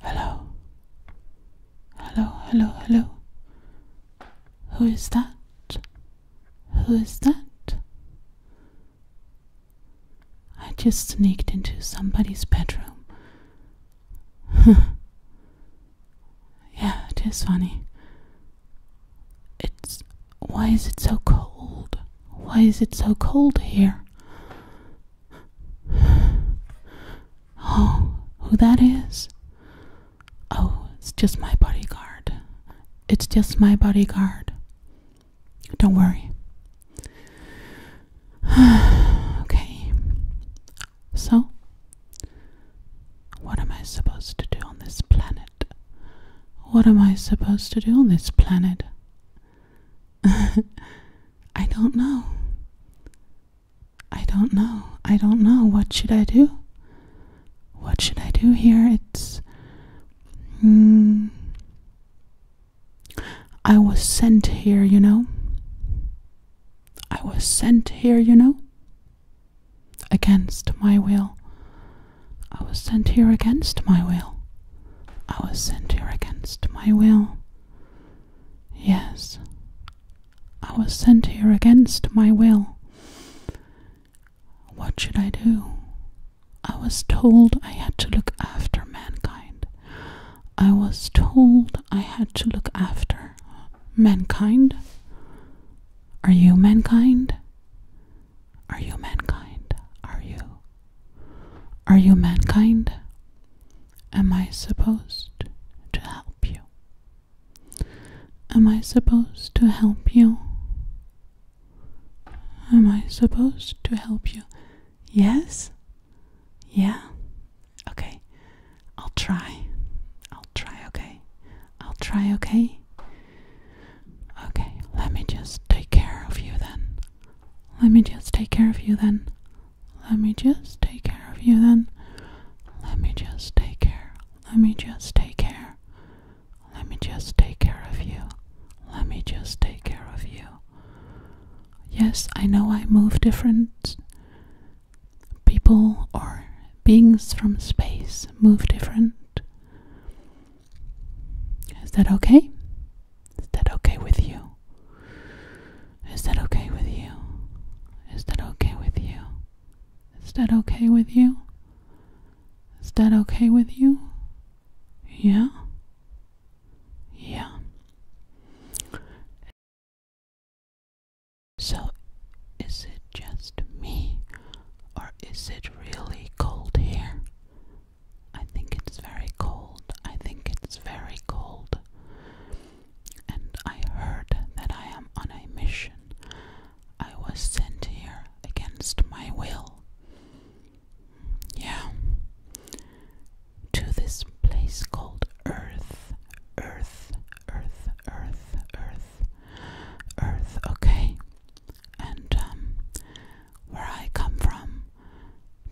Hello. Hello, hello, hello. Who is that? Who is that? I just sneaked into somebody's bedroom. yeah, it is funny. It's. Why is it so cold? Why is it so cold here? Oh, who that is? Oh, it's just my bodyguard. It's just my bodyguard. Don't worry. okay. So, what am I supposed to do on this planet? What am I supposed to do on this planet? I don't know. I don't know. I don't know. What should I do? What should I do here? It's. Mm, I was sent here, you know. I was sent here, you know. Against my will. I was sent here against my will. I was sent here against my will. Yes, I was sent here against my will. What should I do? I was told I had to look after mankind. I was told I had to look after mankind. Are you mankind? Are you mankind? Are you are you mankind? Am I supposed to help you? Am I supposed to help you? Am I supposed to help you? Yes? Yeah? Okay. I'll try. I'll try, okay? I'll try, okay? Okay, let me just take care of you then. Let me just take care of you then. Let me just take care of you then. Let me just take care. Let me just take care. Let me just take care of you. Let me just take care of you. Yes, I know I move different. People or beings from space move different. Is that okay? Is that okay with you? Is that okay with you? Is that okay with you? Is that okay with you? Is that okay with you? Yeah? Yeah. So, is it just me, or is it really cold here? I think it's very cold. I think it's very cold. And I heard that I am on a mission. I was sent here against my will. Yeah. To this place called Earth. Earth, Earth, Earth, Earth, Earth, okay? And, um, where I come from,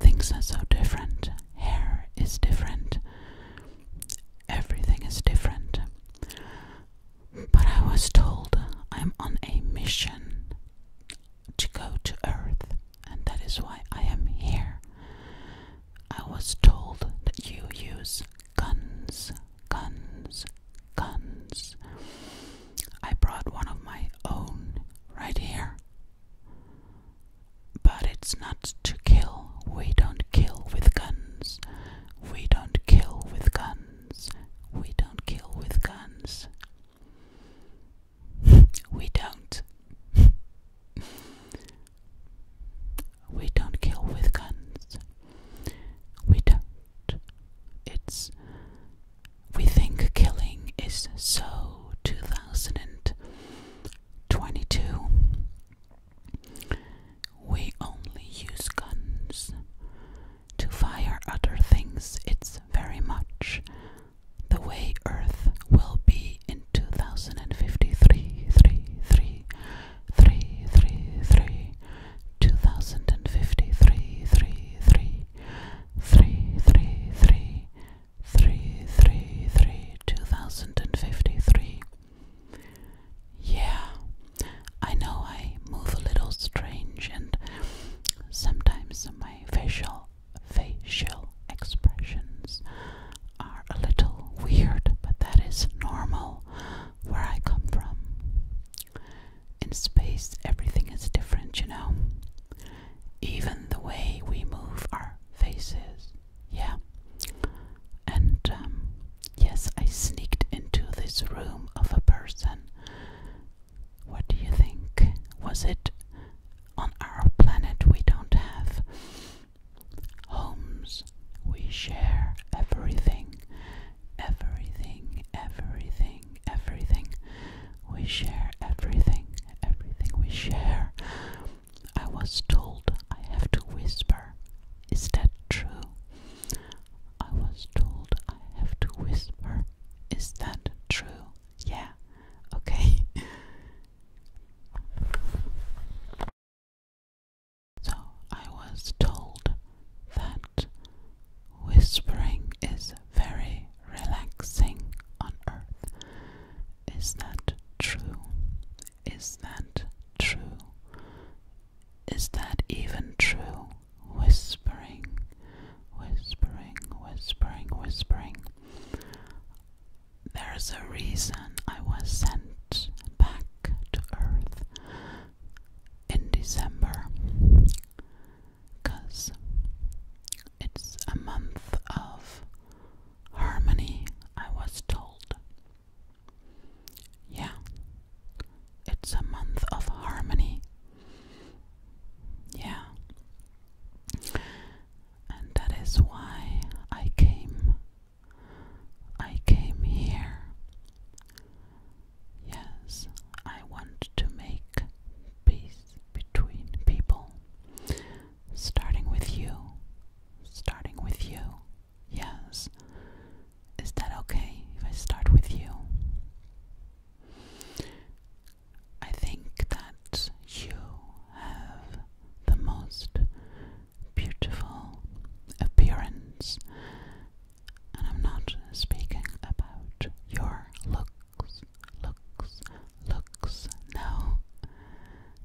things are so different. Hair is different. Everything is different. But I was told I'm on a mission to go to Earth, and that is why I am here. I was told that you use guns, guns, guns. I brought one of my own right here. But it's not to kill. We don't kill with guns. We don't kill with guns. We don't kill with guns. we don't. we don't kill with guns. We don't. It's we think killing is so 2022. We only use guns. To fire other things, it's very much the way Earth will be in 2053. Three, three, three, three, three, three three three three three three two thousand and fifty three. Yeah, I know I move a little strange and sometimes my facial facial expressions are a little weird, but that is normal where I come from. In space, everything is different, you know. Even the way we move our faces. Yeah. And um, yes, I sneaked into this room of a person. What do you think? Was it on our planet we don't have homes? We share everything, everything, everything everything, We share everything, everything we share. I was told I have to whisper. Is that true? I was told I have to whisper. Is that true? Yeah, okay. so I was told that Whispering is very relaxing on earth. Is that true? Is that true? Is that even true? Whispering, whispering, whispering, whispering. There is a reason I was sent back to earth in December because it's a month of harmony, I was told. Yeah, it's a month of harmony. Yeah, and that is why I came. I came here. Yes, I want to make peace between people. Starting with you. Starting with you. Yes. Is that okay if I start with you? I think that you have the most beautiful appearance, and I'm not speaking about your look looks, looks, looks. No,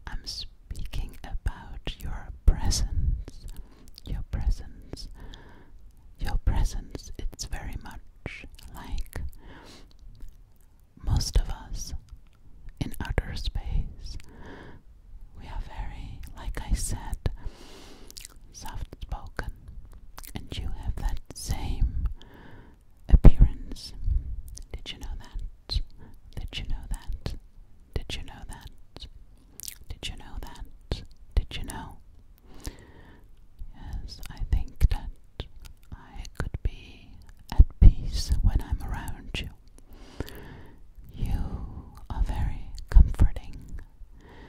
I'm speaking about your presence. Your presence. Your presence. It's very much like most of us in outer space. We are very, like I said, soft spoken, and you have that same appearance. Did you know that? Did you know that? Did you know that? Did you know that? Did you know? Yes, I think that I could be at peace when I'm around you. You are very comforting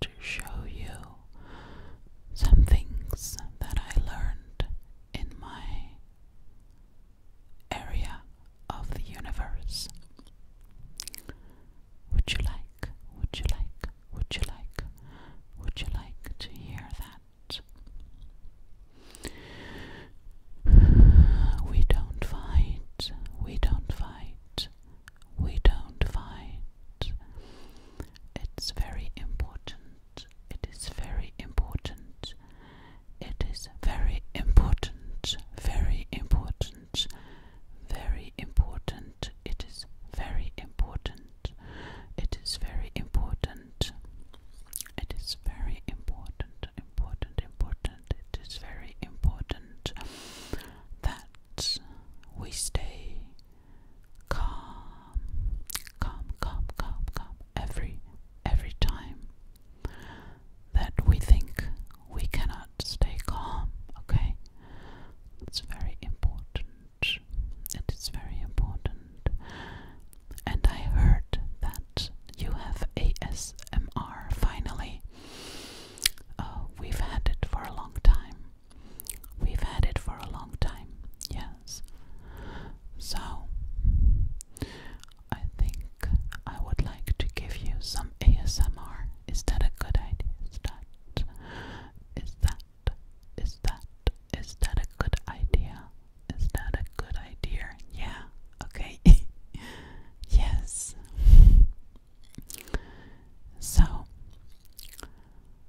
to show you some things that I learned in my area of the universe. Would you like, would you like, would you like, would you like to hear that? We don't fight, we don't fight, we don't fight. It's very important. It is very important. It is very important. Very important. Very important. It is very important. It is very important. It is very important. Important. Important. It is very important that we stay calm, calm, calm, calm, calm every every time that we think we cannot stay calm, okay? It's very important. It is very important. And I heard that you have ASMR finally. Uh, we've had it for a long time. We've had it for a long time, yes. So, I think I would like to give you some ASMR. Is that a good idea? Is that, is that, is that, is that a good idea? Is that a good idea? Yeah, okay. yes. So,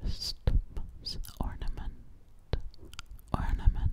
Christmas ornament ornament